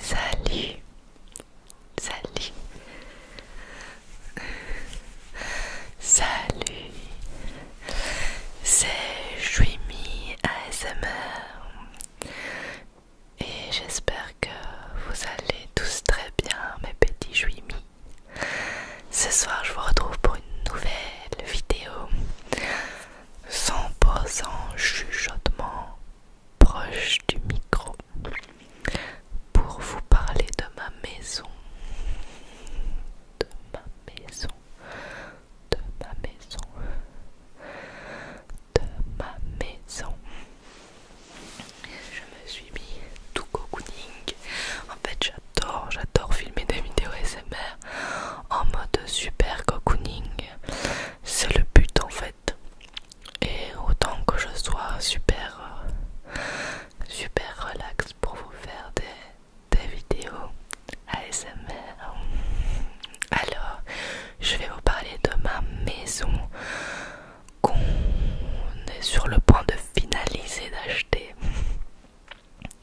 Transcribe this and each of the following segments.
Salut, salut, salut, c'est Jouimi ASMR et j'espère que vous allez tous très bien mes petits Juimi. Ce soir je vous retrouve pour une nouvelle vidéo 100% chuchotement proche du micro pour vous parler de ma maison, de ma maison, de ma maison, de ma maison. Je me suis mis tout cocooning. En fait, j'adore, j'adore filmer des vidéos SMR en mode super cocooning c'est le but en fait. Et autant que je sois super, euh, super relax pour vous faire des, vidéos ASMR, alors je vais vous parler de ma maison qu'on est sur le point de finaliser d'acheter.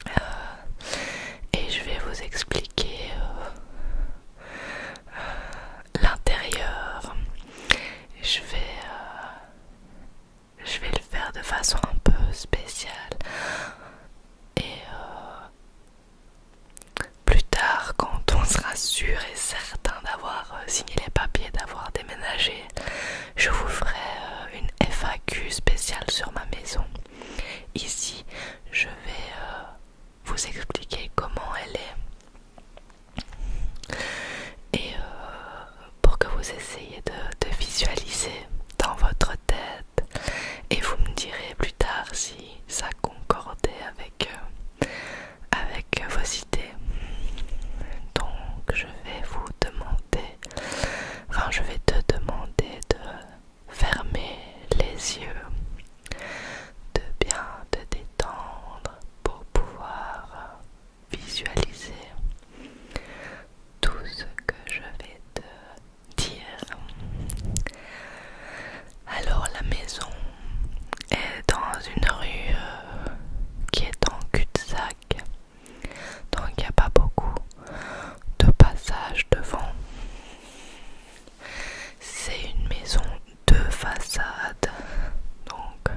Euh, et je vais vous expliquer euh, l'intérieur. Je vais, euh, je vais le faire de façon un peu spéciale. Et euh, plus tard, quand on sera sûr et certain d'avoir euh, signé les papiers, d'avoir déménagé, je vous ferai une FAQ spéciale sur ma maison. Ici, je vais vous expliquer comment elle est et euh, pour que vous essayez de, visualiser dans votre tête et vous me direz plus tard si ça concordait avec, euh, avec vos idées. Donc je vais vous demander, enfin je vais te demander de fermer les yeux, de bien te détendre pour pouvoir visualiser tout ce que je vais te dire. Alors la maison est dans une rue qui est en cul-de-sac, donc il n'y a pas beaucoup de passages devant. C'est une maison de façade. Donc,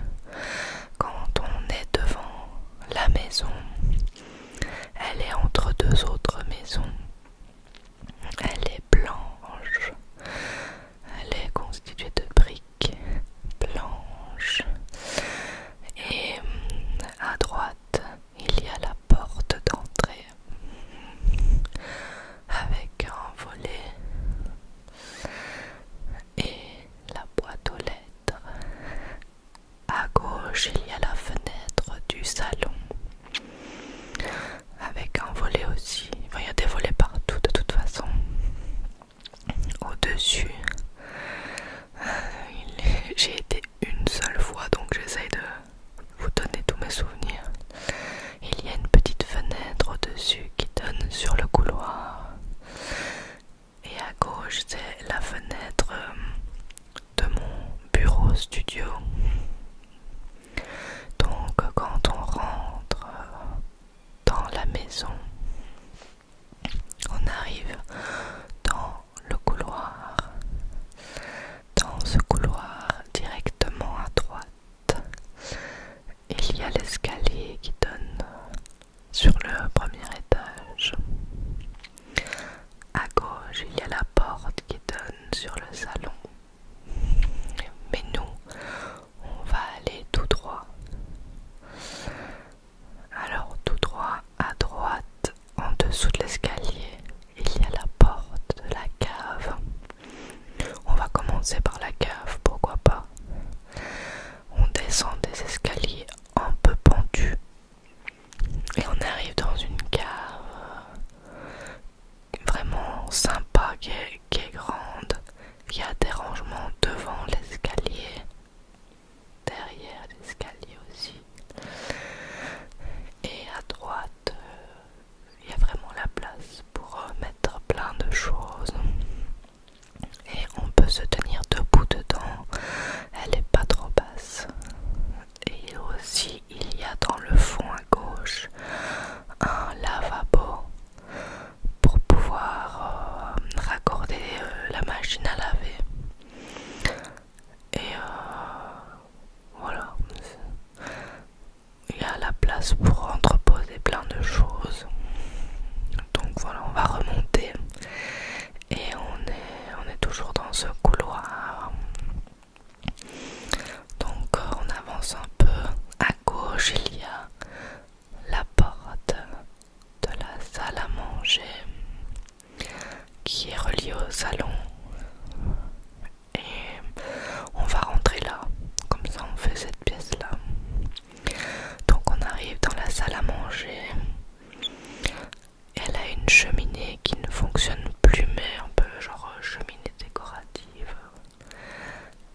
quand on est devant la maison, elle est entre deux autres maisons. Elle est blanche. Elle est constituée de briques blanches. Et hum, à droite, il y a la porte d'entrée avec un volet et la boîte aux lettres. À gauche, il y a la fenêtre du salon avec un volet aussi. il y a des volets partout de toute façon. Au-dessus, euh, j'ai été une seule fois donc j'essaye de vous donnez tous mes souvenirs. Il y a une petite fenêtre au-dessus qui donne sur le couloir. Et à gauche, c'est la fenêtre euh, de mon bureau studio. Donc quand on rentre euh, dans la maison, on arrive dans le couloir dans ce couloir, directement à droite, il y a l'escalier qui donne sur le premier étage. À gauche, il y a la porte qui donne sur le salon. Mais nous, on va aller tout droit. Alors tout droit à droite, en dessous de l'escalier, il y a la porte de la cave. On va commencer par la cave, pourquoi pas. On descend des escaliers un peu pendus et on arrive dans une cave euh, vraiment sympa qui est, grande. Il y a des rangements devant l'escalier, derrière l'escalier aussi. Et à droite, euh, il y a vraiment la place pour euh, mettre plein de choses. Et on peut se tenir debout dedans. Elle n'est pas trop basse. Et aussi, il y a dans le fond à gauche un lavabo pour pouvoir euh, raccorder la machine à laver. Et voilà il y a la place pour entreposer plein de choses. Donc voilà, on va remonter et on est, on est toujours dans ce couloir. Donc euh, on avance un peu. À gauche, il y a la porte de la salle à manger qui est reliée au salon et on va rentrer là comme ça on fait cette pièce là donc on arrive dans la salle à manger elle a une cheminée qui ne fonctionne plus mais un peu genre euh, cheminée décorative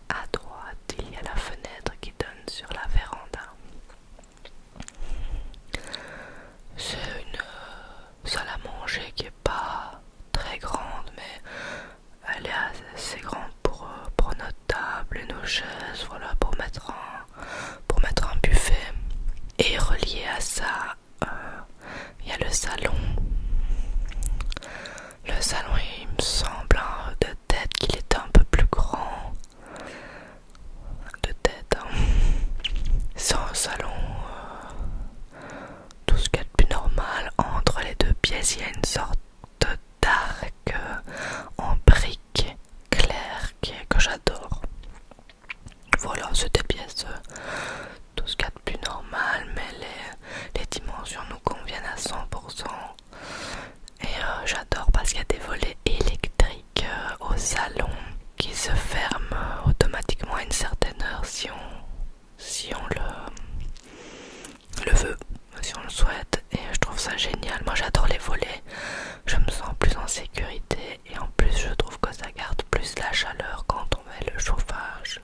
à droite il y a la fenêtre qui donne sur la véranda c'est une euh, salle à manger qui est pas très grande mais elle est assez grande pour, euh, pour notre table et nos chaises, voilà, pour mettre un, pour mettre un buffet. Et relié à ça, euh, il y a le salon. Le salon, il me semble hein, de tête qu'il est un peu plus grand. De tête, hein. C'est un salon euh, tout ce qu'il y de plus normal. Entre les deux pièces, il y a une sorte d'arc en briques claires que j'adore. Voilà, c'est des pièces, tout ce qu'il y de plus normal, mais les, dimensions nous conviennent à 100%. Et euh, j'adore parce qu'il y a des volets électriques euh, au salon qui se ferment automatiquement à une certaine heure si on si on le, veut, si on le souhaite. Et je trouve ça génial. Moi j'adore les volets. Je me sens plus en sécurité. Et en plus je trouve que ça garde plus la chaleur quand on met le chauffage.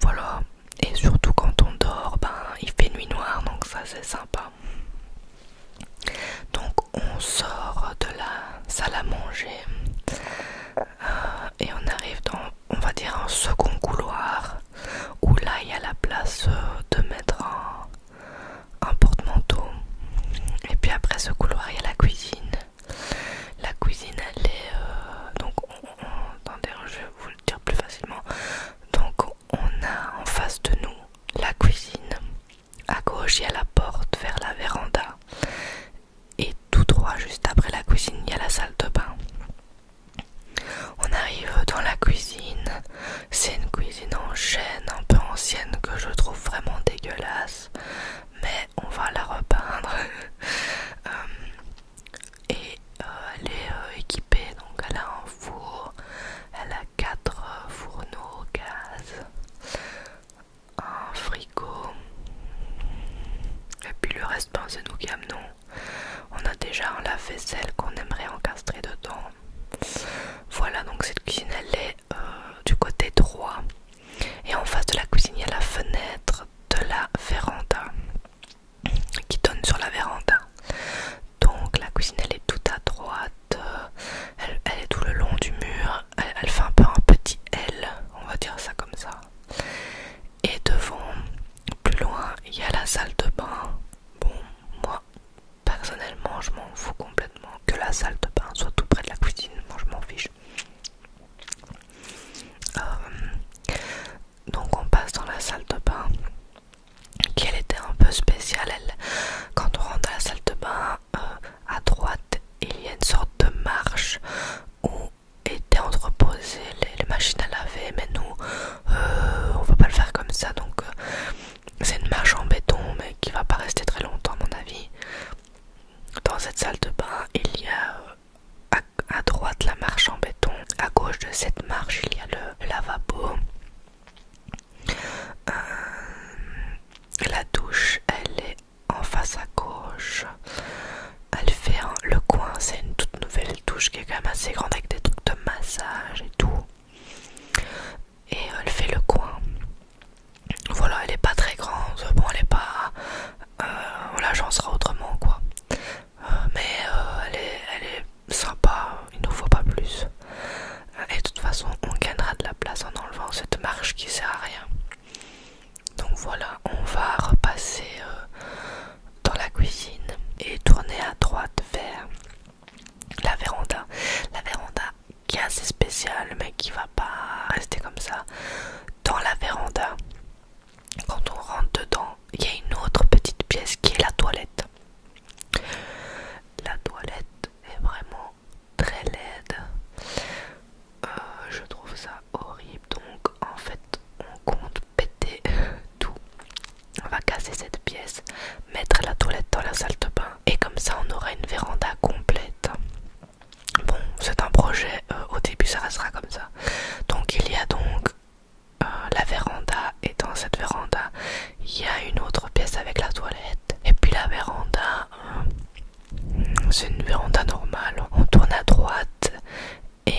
Voilà. Et surtout quand on dort, ben il fait nuit noire, donc ça c'est sympa. Donc on sort de la salle à manger et on arrive dans, on va dire, un second couloir où là il y a la place euh, de mettre un, un porte-manteau. Et puis après ce couloir, il y a la cuisine. La cuisine, elle est euh, donc, on, je vais vous le dire plus facilement. Donc, on a en face de nous la cuisine. À gauche, il y a la porte vers la véranda et tous trois, juste après la cuisine, il y a la salle de bain. On arrive dans la cuisine. C'est une cuisine en chêne un peu ancienne que je trouve vraiment dégueulasse, mais on va la repeindre. Euh, et euh, elle est euh, équipée, donc elle a un four, elle a quatre fourneaux gaz, un ah, frigo et puis le reste ben, c'est nous qui amenons on a déjà un lave-vaisselle qu'on aimerait encastrer dedans voilà donc cette cuisine elle est euh, du côté droit et en face de la cuisine il y a la fenêtre de la véranda qui donne sur la véranda donc la cuisine elle est tout à droite euh, elle est tout le long du mur elle, fait un peu un petit L, on va dire ça comme ça. Et devant, plus loin, il y a la salle de bain. Bon, moi, personnellement, je m'en fous complètement que la salle de bain soit tout près de la cuisine. Moi, je m'en fiche. Euh, donc, on passe dans la salle de bain qui elle était un peu spéciale. Elle, quand on rentre à la salle de bain, euh, à droite, il y a une sorte de marche où était entreposées les, machines à laver mais nous euh, on va pas le faire comme ça donc euh, c'est une marche en béton mais qui va pas rester très longtemps à mon avis dans cette salle de bain il y a euh, à, droite la marche en béton à gauche de cette marche il y a le lavabo la douche elle est en face à gauche. Elle fait le coin, c'est une toute nouvelle touche qui est quand même assez grande avec des trucs de massage et tout. Et elle fait le coin. Voilà, elle est pas très grande. Bon, elle est pas. Euh, j'en serai autrement quoi. Euh, mais euh, elle, est, elle sympa, il ne faut pas plus. Et de toute façon, on gagnera de la place en enlevant cette marche qui sert à rien. Donc voilà, on va repasser euh, dans la cuisine et tourner à droite vers la véranda. La véranda qui est assez spéciale mais qui va pas rester comme ça. Dans la véranda, quand on rentre dedans, il y a une autre petite pièce qui est la toilette. La toilette est vraiment très laide. Euh, je trouve ça horrible. Donc en fait, on compte péter euh, tout. On va casser cette pièce, mettre la toilette dans la salle de bain et comme ça on aura une véranda complète. Bon, c'est un projet, euh, au début ça restera comme ça. Donc il y a donc la véranda et dans cette véranda il y a une autre pièce avec la toilette. Et puis la véranda, c'est une véranda normale. On tourne à droite et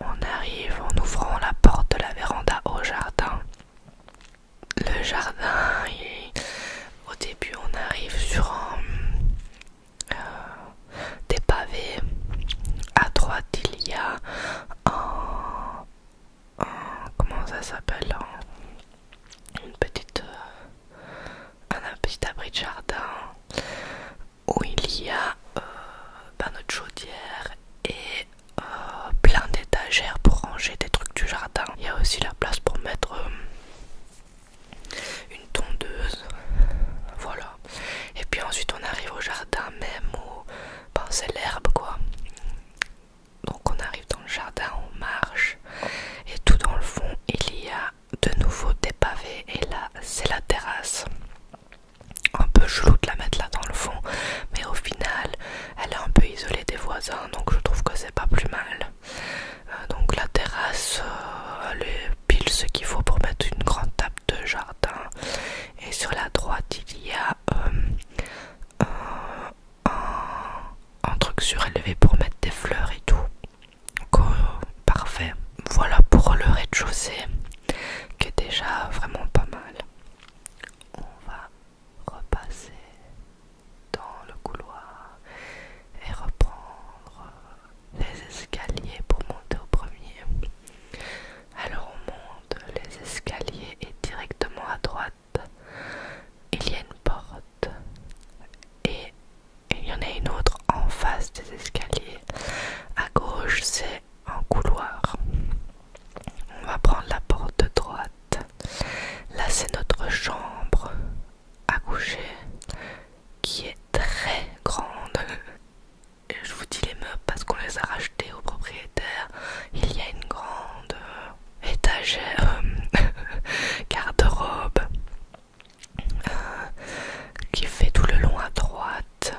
on, arrive en ouvrant la porte de la véranda au jardin. Le jardin, au début, on arrive sur euh, des pavés. À droite, il y a un. comment ça s'appelle Une petite. Euh, un petit abri de jardin où il y a euh, ben, notre chaudière et euh, plein d'étagères pour ranger des trucs du jardin. Il y a aussi la place pour mettre euh, une tondeuse. Voilà. Et puis ensuite on arrive au jardin même où ben, c'est l'herbe quoi. Donc on arrive dans le jardin, on marche et tout dans le fond il y a de nouveau des pavés et là c'est la terrasse. Un peu chelou de la mettre là dans le fond, mais au final elle est un peu isolée des voisins donc je trouve que c'est pas plus mal. Euh, donc la terrasse, euh, elle est pile ce qu'il faut pour mettre une grande table de jardin. Et sur la droite il y a euh, un truc surélevé pour mettre des fleurs et tout parfait. Voilà pour le rez-de-chaussée qui est déjà vraiment pas mal. On va repasser dans le couloir et reprendre les escaliers pour monter au premier. Alors on monte les escaliers et directement à droite, il y a une porte et il y en a une autre en face des escaliers. À gauche, c'est un couloir. On va prendre la porte de droite. Là, c'est notre chambre à coucher qui est très grande. Et je vous dis les meubles parce qu'on les a rachetés au propriétaire. Il y a une grande euh, étagère, euh, garde-robe. Euh, qui fait tout le long à droite.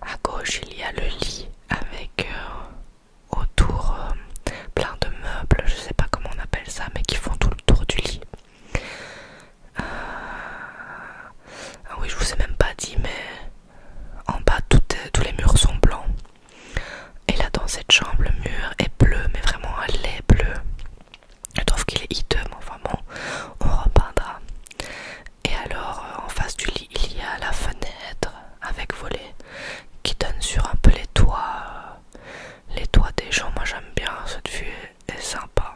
À gauche, il y a le lit avec euh, autour euh, plein de meubles, je sais pas comment on appelle ça, mais qui font tout le tour du lit. Ah oui, je vous ai même pas dit, mais en bas, tous les murs sont blancs. Et là, dans cette chambre, le mur est bleu, mais vraiment elle est bleu. Je trouve qu'il est hideux, mais enfin on repeindra. Et alors, euh, en face du lit, il y a la fenêtre avec volet qui donne sur un peu les toits, euh, les toits des gens. Moi, j'aime bien cette vue, est sympa.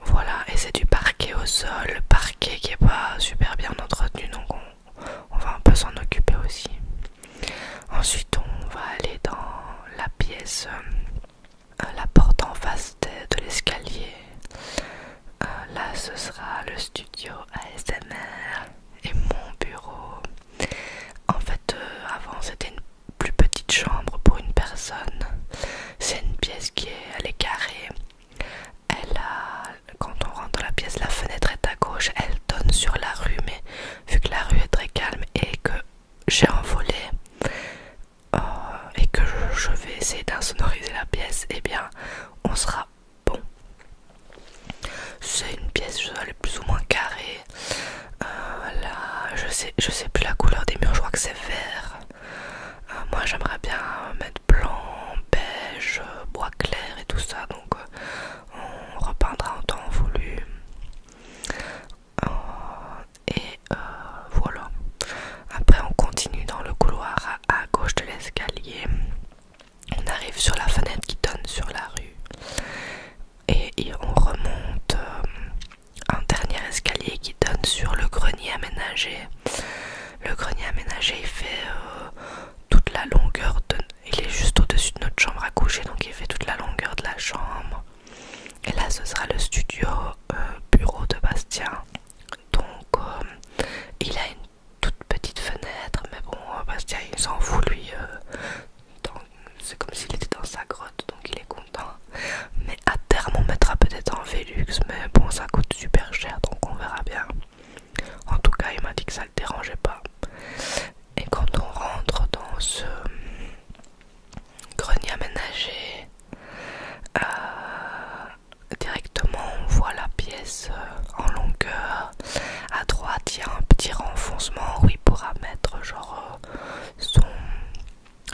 Voilà, et c'est du parquet au sol, parquet qui est pas super bien entretenu, donc on va un peu s'en occuper aussi. Ensuite, on va aller dans la pièce, euh, la porte en face de, l'escalier. Euh, là, ce sera le studio ASMR et mon bureau. En fait, euh, avant, c'était une plus petite chambre pour une personne. C'est une pièce qui est, elle est carrée. Elle a, quand on rentre dans la pièce, la fenêtre est à gauche. Elle donne sur la rue, mais vu que la rue est très calme et que j'ai envolé euh, et que je, vais essayer d'insonoriser la pièce, et eh bien on sera bon. C'est une pièce, je dois plus ou moins carrée. Euh, là, je sais, je sais plus la couleur des murs, je crois que c'est vert. Euh, moi j'aimerais bien mettre blanc, beige, bois clair et tout ça, donc on repeindra en temps voulu. Euh, et euh, voilà. Après, on continue dans le couloir à, gauche de l'escalier. On arrive sur la fenêtre qui donne sur la rue. Et, on remonte euh, un dernier escalier qui donne sur le grenier aménagé. Le grenier aménagé, il fait toute la longueur de... Il est juste au-dessus de notre chambre à coucher, donc il fait toute la longueur de la chambre. Et là, ce sera le studio euh, bureau de Bastien. Donc, euh, il a une toute petite fenêtre, mais bon, euh, Bastien, il s'en fout, lui. C'est comme s'il était dans sa grotte, donc il est content. Mais à terme, on mettra peut-être en Velux, mais bon, ça coûte super cher, donc on verra bien. En tout cas, il m'a dit que ça le dérangeait pas. Et quand on rentre dans ce grenier aménagé, euh, directement on voit la pièce euh, en longueur. À droite, il y a un petit renfoncement où il pourra mettre genre euh, son,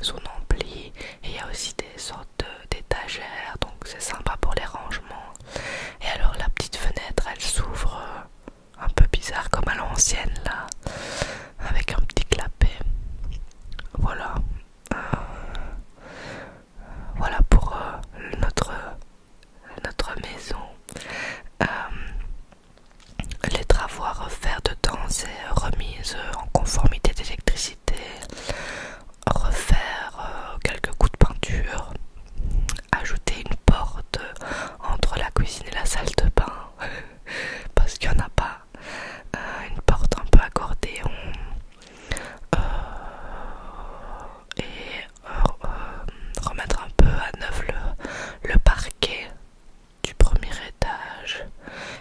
son ampli. Et il y a aussi des sortes d'étagères, donc c'est sympa pour les rangements. Et alors la petite fenêtre, elle s'ouvre un peu bizarre comme à l'ancienne là avec un petit clapet voilà euh, voilà pour euh, notre notre maison euh, les travaux à refaire dedans c'est remise en conformité d'électricité refaire quelques coups de peinture ajouter une porte entre la cuisine et la salle de bain parce qu'il n'y en a pas. Euh, une porte un peu accordée euh, et euh, remettre un peu à neuf le, le parquet du premier étage.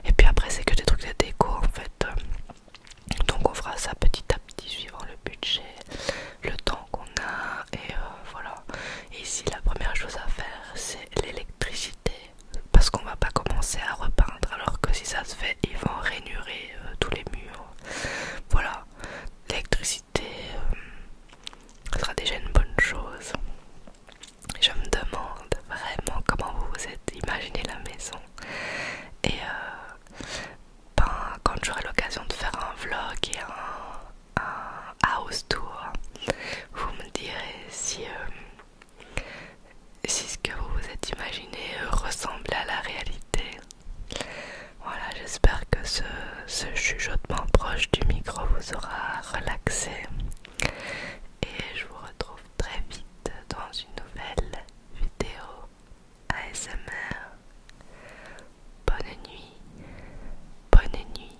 Et puis après, c'est que des trucs de déco en fait. Donc on fera ça petit à petit suivant le budget, le temps qu'on a et euh, voilà. ici la première chose à faire c'est l'électricité parce qu'on va pas commencer à repeindre alors que si ça se fait ils vont rainurer euh, tous les murs. Voilà, l'électricité euh, sera déjà une bonne chose. Je me demande vraiment comment vous vous êtes imaginé la maison et ben, quand j'aurai l'occasion de faire un vlog et un un house tour. Vous me direz si, euh, si ce que vous vous êtes imaginé ressemble à la réalité. Voilà, j'espère que ce, ce chuchotement proche du micro vous aura relaxé. Et je vous retrouve très vite dans une nouvelle vidéo ASMR. Bonne nuit, bonne nuit,